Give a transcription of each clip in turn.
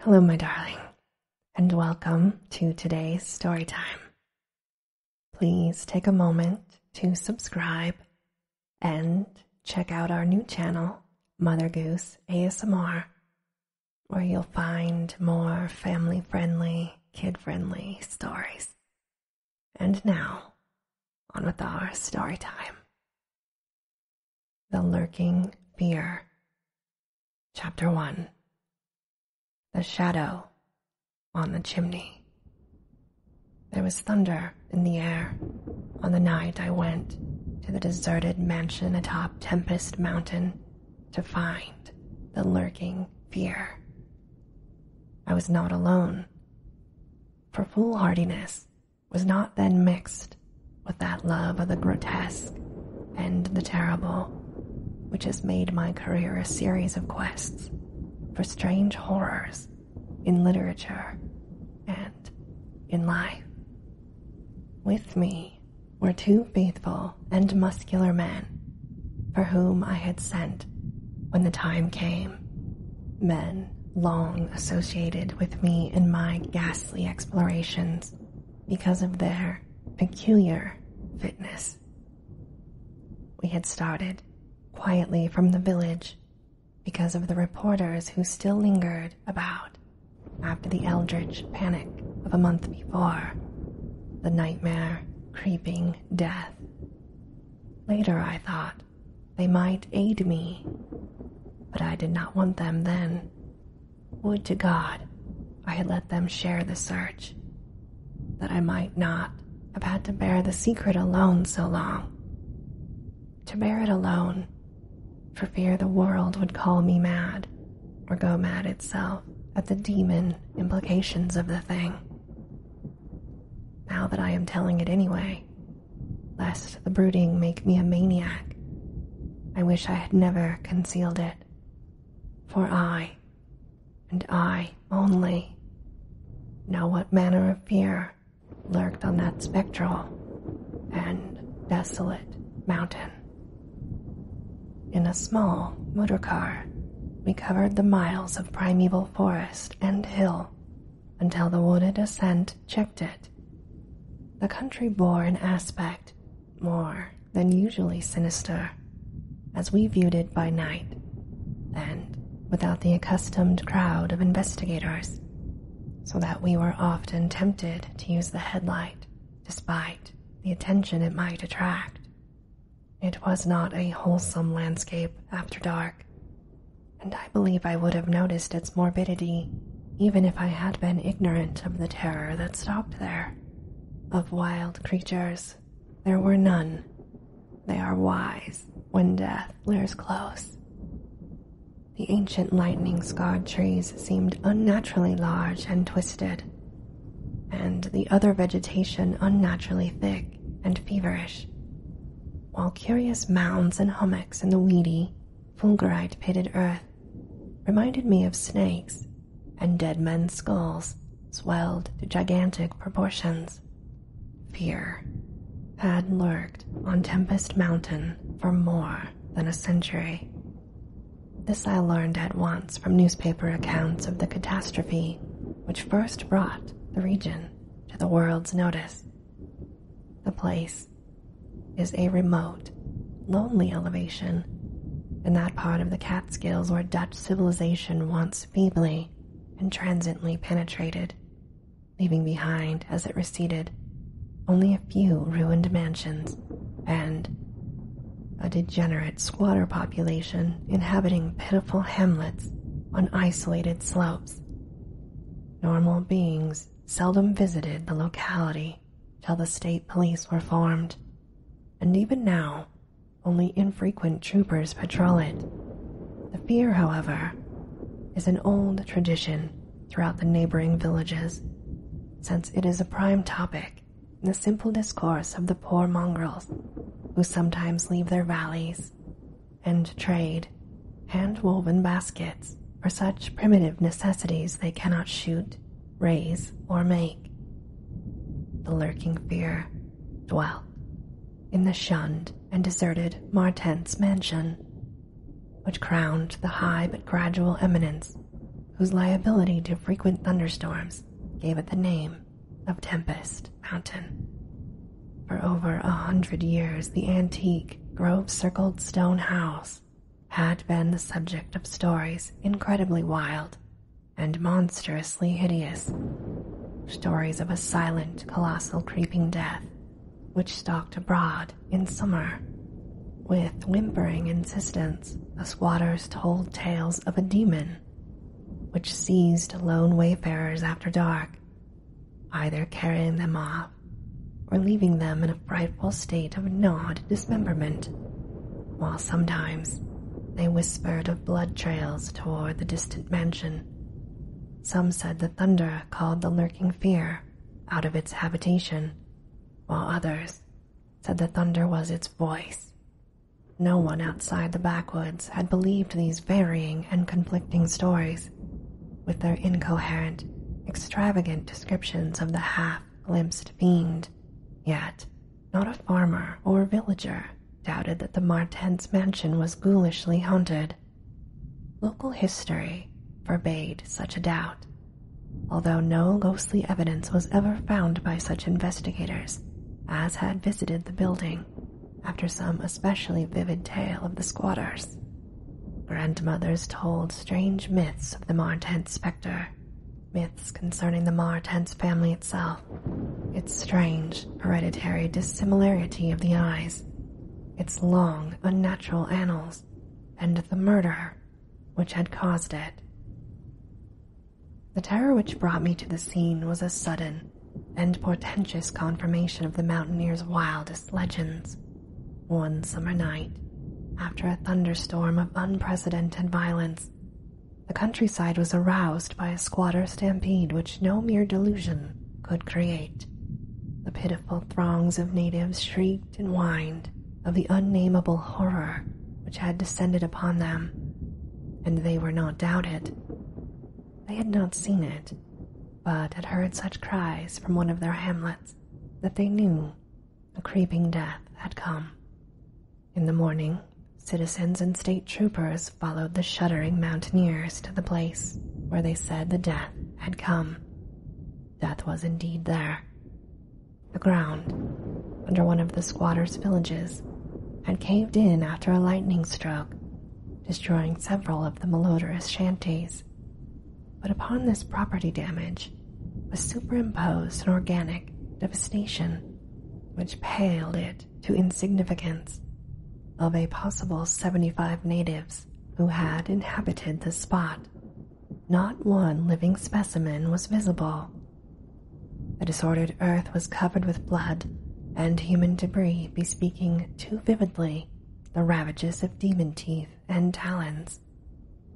Hello, my darling, and welcome to today's story time. Please take a moment to subscribe and check out our new channel, Mother Goose ASMR, where you'll find more family friendly, kid friendly stories. And now, on with our story time. The Lurking Fear. Chapter 1 The Shadow on the Chimney. There was thunder in the air on the night I went to the deserted mansion atop Tempest Mountain to find the lurking fear. I was not alone. For foolhardiness, was not then mixed with that love of the grotesque and the terrible, which has made my career a series of quests for strange horrors in literature and in life. With me were two faithful and muscular men for whom I had sent when the time came. Men long associated with me in my ghastly explorations because of their peculiar fitness. We had started quietly from the village because of the reporters who still lingered about after the eldritch panic of a month before, the nightmare creeping death. Later, I thought, they might aid me, but I did not want them then. Would to God I had let them share the search, that I might not have had to bear the secret alone so long. To bear it alone, for fear the world would call me mad, or go mad itself at the demon implications of the thing. Now that I am telling it anyway, lest the brooding make me a maniac. I wish I had never concealed it, for I, and I only, know what manner of fear lurked on that spectral and desolate mountain. In a small motor car, we covered the miles of primeval forest and hill until the wooded ascent checked it. The country bore an aspect more than usually sinister, as we viewed it by night, and without the accustomed crowd of investigators, so that we were often tempted to use the headlight despite the attention it might attract. It was not a wholesome landscape after dark, and I believe I would have noticed its morbidity even if I had been ignorant of the terror that stopped there. Of wild creatures, there were none. They are wise when death looms close. The ancient lightning scarred trees seemed unnaturally large and twisted, and the other vegetation unnaturally thick and feverish, while curious mounds and hummocks in the weedy fulgurite pitted earth reminded me of snakes, and dead men's skulls swelled to gigantic proportions. Fear had lurked on Tempest Mountain for more than a century. This I learned at once from newspaper accounts of the catastrophe which first brought the region to the world's notice. The place is a remote, lonely elevation in that part of the Catskills where Dutch civilization once feebly and transiently penetrated, leaving behind as it receded only a few ruined mansions and a degenerate squatter population inhabiting pitiful hamlets on isolated slopes Normal beings seldom visited the locality till the state police were formed, and even now, only infrequent troopers patrol it. The fear, however, is an old tradition throughout the neighboring villages, since it is a prime topic in the simple discourse of the poor mongrels who sometimes leave their valleys and trade hand woven baskets for such primitive necessities they cannot shoot, raise, or make. The lurking fear dwelt in the shunned and deserted Martens mansion, which crowned the high but gradual eminence whose liability to frequent thunderstorms gave it the name of Tempest mountain. For over a hundred years, the antique grove circled stone house had been the subject of stories incredibly wild and monstrously hideous. Stories of a silent, colossal, creeping death which stalked abroad in summer. With whimpering insistence, the squatters told tales of a demon which seized lone wayfarers after dark either carrying them off or leaving them in a frightful state of gnawed dismemberment, while sometimes they whispered of blood trails toward the distant mansion. Some said the thunder called the lurking fear out of its habitation, while others said the thunder was its voice. No one outside the backwoods had believed these varying and conflicting stories, with their incoherent, extravagant descriptions of the half glimpsed fiend, yet not a farmer or villager doubted that the Martens mansion was ghoulishly haunted. Local history forbade such a doubt, although no ghostly evidence was ever found by such investigators as had visited the building after some especially vivid tale of the squatters. Grandmothers told strange myths of the Martent specter, myths concerning the Martent family itself, its strange hereditary dissimilarity of the eyes, its long, unnatural annals, and the murder which had caused it. The terror which brought me to the scene was as sudden and portentous confirmation of the mountaineer's wildest legends. One summer night, after a thunderstorm of unprecedented violence, the countryside was aroused by a squatter stampede which no mere delusion could create. The pitiful throngs of natives shrieked and whined of the unnameable horror which had descended upon them, and they were not doubted. They had not seen it, but had heard such cries from one of their hamlets that they knew a creeping death had come. In the morning, citizens and state troopers followed the shuddering mountaineers to the place where they said the death had come. Death was indeed there. The ground, under one of the squatters' villages, had caved in after a lightning stroke, destroying several of the malodorous shanties. But upon this property damage was superimposed an organic devastation which paled it to insignificance of a possible 75 natives who had inhabited the spot. Not one living specimen was visible. The disordered earth was covered with blood and human debris, bespeaking too vividly the ravages of demon teeth and talons.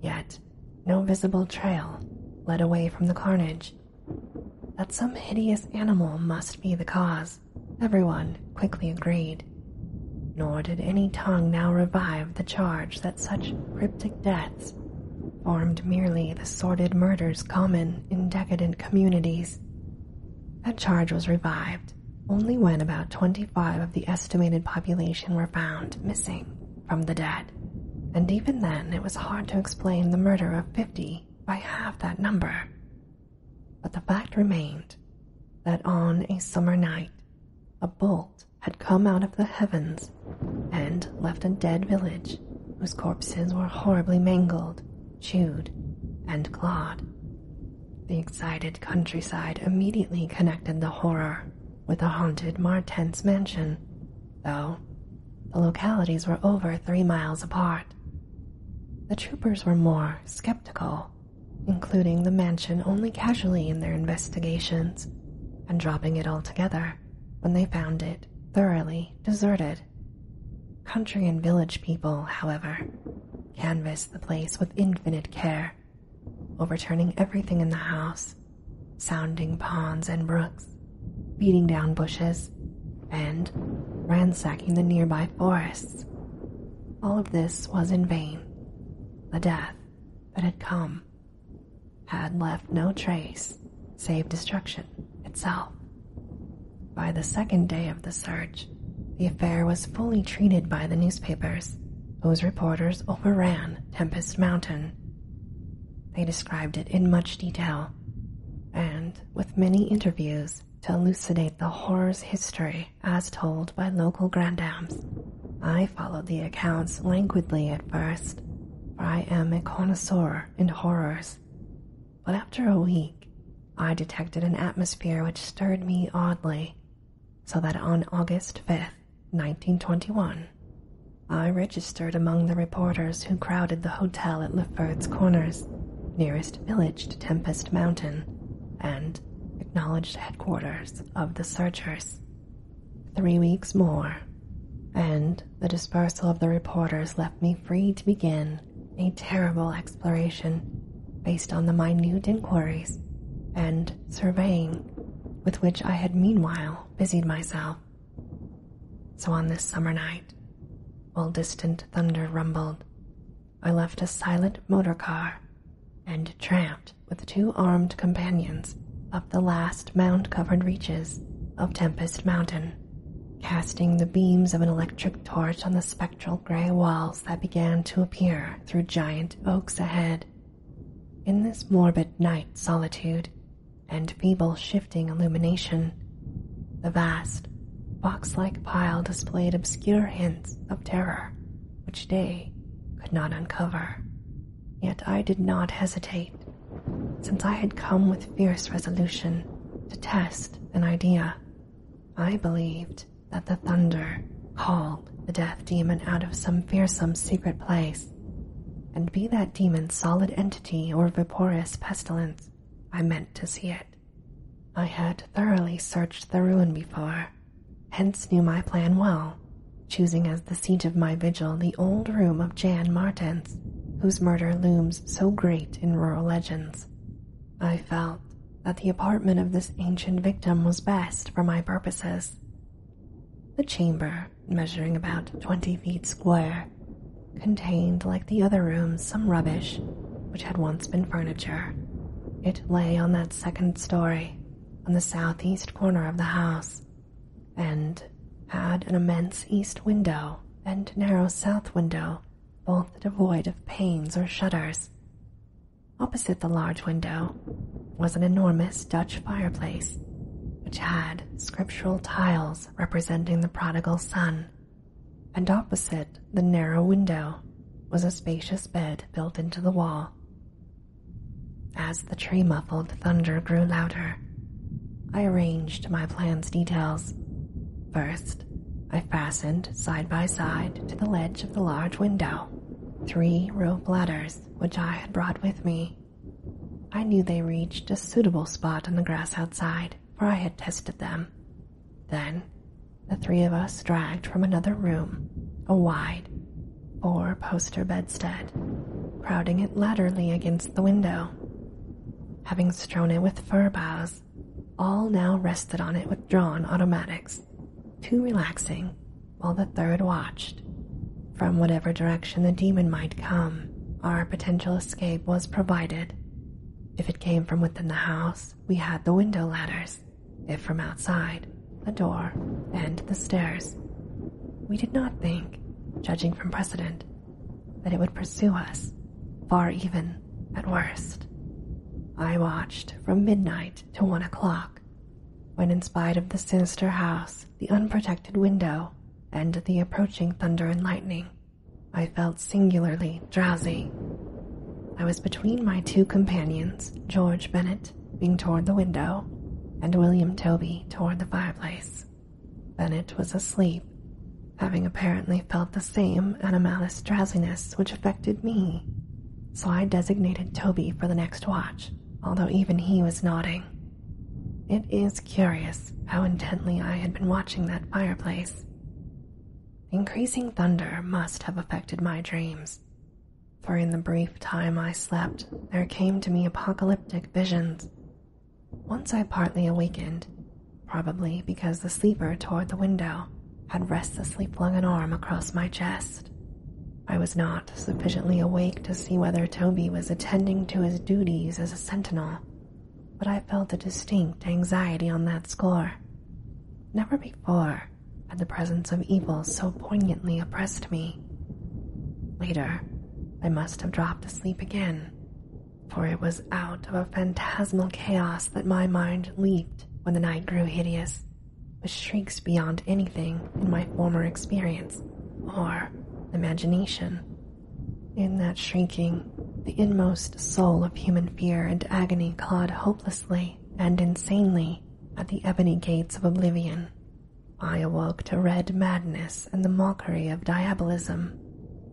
Yet, no visible trail led away from the carnage. That some hideous animal must be the cause, everyone quickly agreed. Nor did any tongue now revive the charge that such cryptic deaths formed merely the sordid murders common in decadent communities. That charge was revived only when about 25 of the estimated population were found missing from the dead, and even then it was hard to explain the murder of 50 by half that number. But the fact remained that on a summer night, a bolt had come out of the heavens and left a dead village whose corpses were horribly mangled, chewed, and clawed. The excited countryside immediately connected the horror with the haunted Martens mansion, though the localities were over three miles apart. The troopers were more skeptical, including the mansion only casually in their investigations and dropping it altogether when they found it thoroughly deserted. Country and village people, however, canvassed the place with infinite care, overturning everything in the house, sounding ponds and brooks, beating down bushes, and ransacking the nearby forests. All of this was in vain. The death that had come had left no trace save destruction itself. By the second day of the search, the affair was fully treated by the newspapers, whose reporters overran Tempest Mountain. They described it in much detail and with many interviews to elucidate the horror's history as told by local grandams. I followed the accounts languidly at first, for I am a connoisseur in horrors but after a week I detected an atmosphere which stirred me oddly, so that on August 5th, 1921, I registered among the reporters who crowded the hotel at Lefferts Corners, nearest village to Tempest Mountain, and acknowledged headquarters of the searchers. Three weeks more, and the dispersal of the reporters left me free to begin a terrible exploration based on the minute inquiries and surveying with which I had meanwhile busied myself. So on this summer night, while distant thunder rumbled, I left a silent motor car and tramped with two armed companions up the last mound covered reaches of Tempest Mountain casting the beams of an electric torch on the spectral gray walls that began to appear through giant oaks ahead. In this morbid night solitude and feeble shifting illumination, the vast, box like pile displayed obscure hints of terror which day could not uncover. Yet I did not hesitate since I had come with fierce resolution to test an idea, I believed that the thunder called the death demon out of some fearsome secret place, and be that demon solid entity or vaporous pestilence, I meant to see it. I had thoroughly searched the ruin before, hence knew my plan well, choosing as the seat of my vigil the old room of Jan Martin, whose murder looms so great in rural legends. I felt that the apartment of this ancient victim was best for my purposes. The chamber, measuring about 20 feet square, contained, like the other rooms, some rubbish which had once been furniture. It lay on that second story, on the southeast corner of the house, and had an immense east window and narrow south window, both devoid of panes or shutters. Opposite the large window was an enormous Dutch fireplace, which had scriptural tiles representing the prodigal son, and opposite the narrow window was a spacious bed built into the wall. As the tree muffled thunder grew louder, I arranged my plan's details. First, I fastened side by side to the ledge of the large window three rope ladders which I had brought with me. I knew they reached a suitable spot on the grass outside, for I had tested them. Then, the three of us dragged from another room a wide, four poster bedstead crowding it laterally against the window. Having strown it with fir boughs, all now rested on it with drawn automatics, two relaxing, while the third watched. From whatever direction the demon might come, our potential escape was provided. If it came from within the house, we had the window ladders. If from outside, the door and the stairs. We did not think, judging from precedent, that it would pursue us, far even at worst. I watched from midnight to one o'clock, when, in spite of the sinister house, the unprotected window, and the approaching thunder and lightning, I felt singularly drowsy. I was between my two companions, George Bennett being toward the window, and William Toby toward the fireplace. Bennett was asleep, having apparently felt the same anomalous drowsiness which affected me, so I designated Toby for the next watch, although even he was nodding. It is curious how intently I had been watching that fireplace. Increasing thunder must have affected my dreams, for in the brief time I slept, there came to me apocalyptic visions. Once I partly awakened, probably because the sleeper toward the window had restlessly flung an arm across my chest. I was not sufficiently awake to see whether Toby was attending to his duties as a sentinel, but I felt a distinct anxiety on that score. Never before had the presence of evil so poignantly oppressed me. Later, I must have dropped asleep again, for it was out of a phantasmal chaos that my mind leaped when the night grew hideous, with shrieks beyond anything in my former experience or imagination. In that shrieking, the inmost soul of human fear and agony clawed hopelessly and insanely at the ebony gates of oblivion, I awoke to red madness and the mockery of diabolism,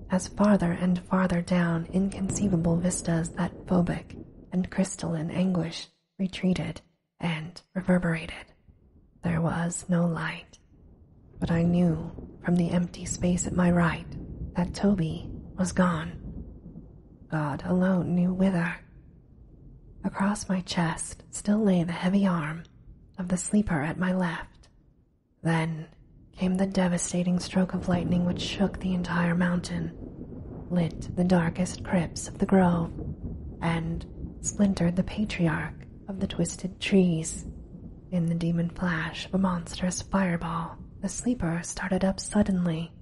as farther and farther down inconceivable vistas that phobic and crystalline anguish retreated and reverberated. There was no light, but I knew from the empty space at my right that Toby was gone. God alone knew whither Across my chest still lay the heavy arm of the sleeper at my left. Then came the devastating stroke of lightning which shook the entire mountain, lit the darkest crypts of the grove, and splintered the patriarch of the twisted trees. In the demon flash of a monstrous fireball, the sleeper started up suddenly,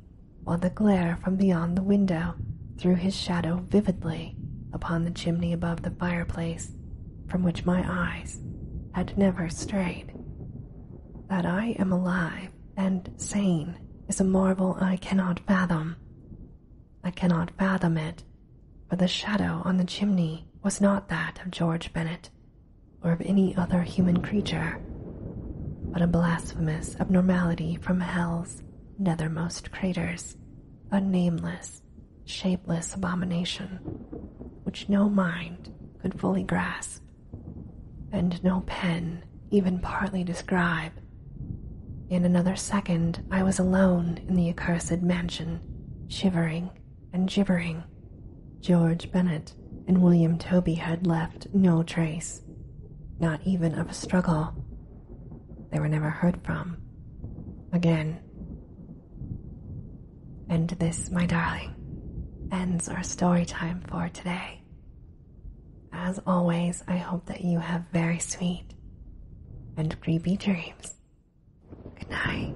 while the glare from beyond the window threw his shadow vividly upon the chimney above the fireplace from which my eyes had never strayed. That I am alive and sane is a marvel I cannot fathom. I cannot fathom it, for the shadow on the chimney was not that of George Bennett or of any other human creature, but a blasphemous abnormality from hell's nethermost craters a nameless, shapeless abomination which no mind could fully grasp, and no pen even partly describe. In another second, I was alone in the accursed mansion, shivering and gibbering. George Bennett and William Toby had left no trace, not even of a struggle they were never heard from again. And this, my darling, ends our story time for today. As always, I hope that you have very sweet and creepy dreams. Good night.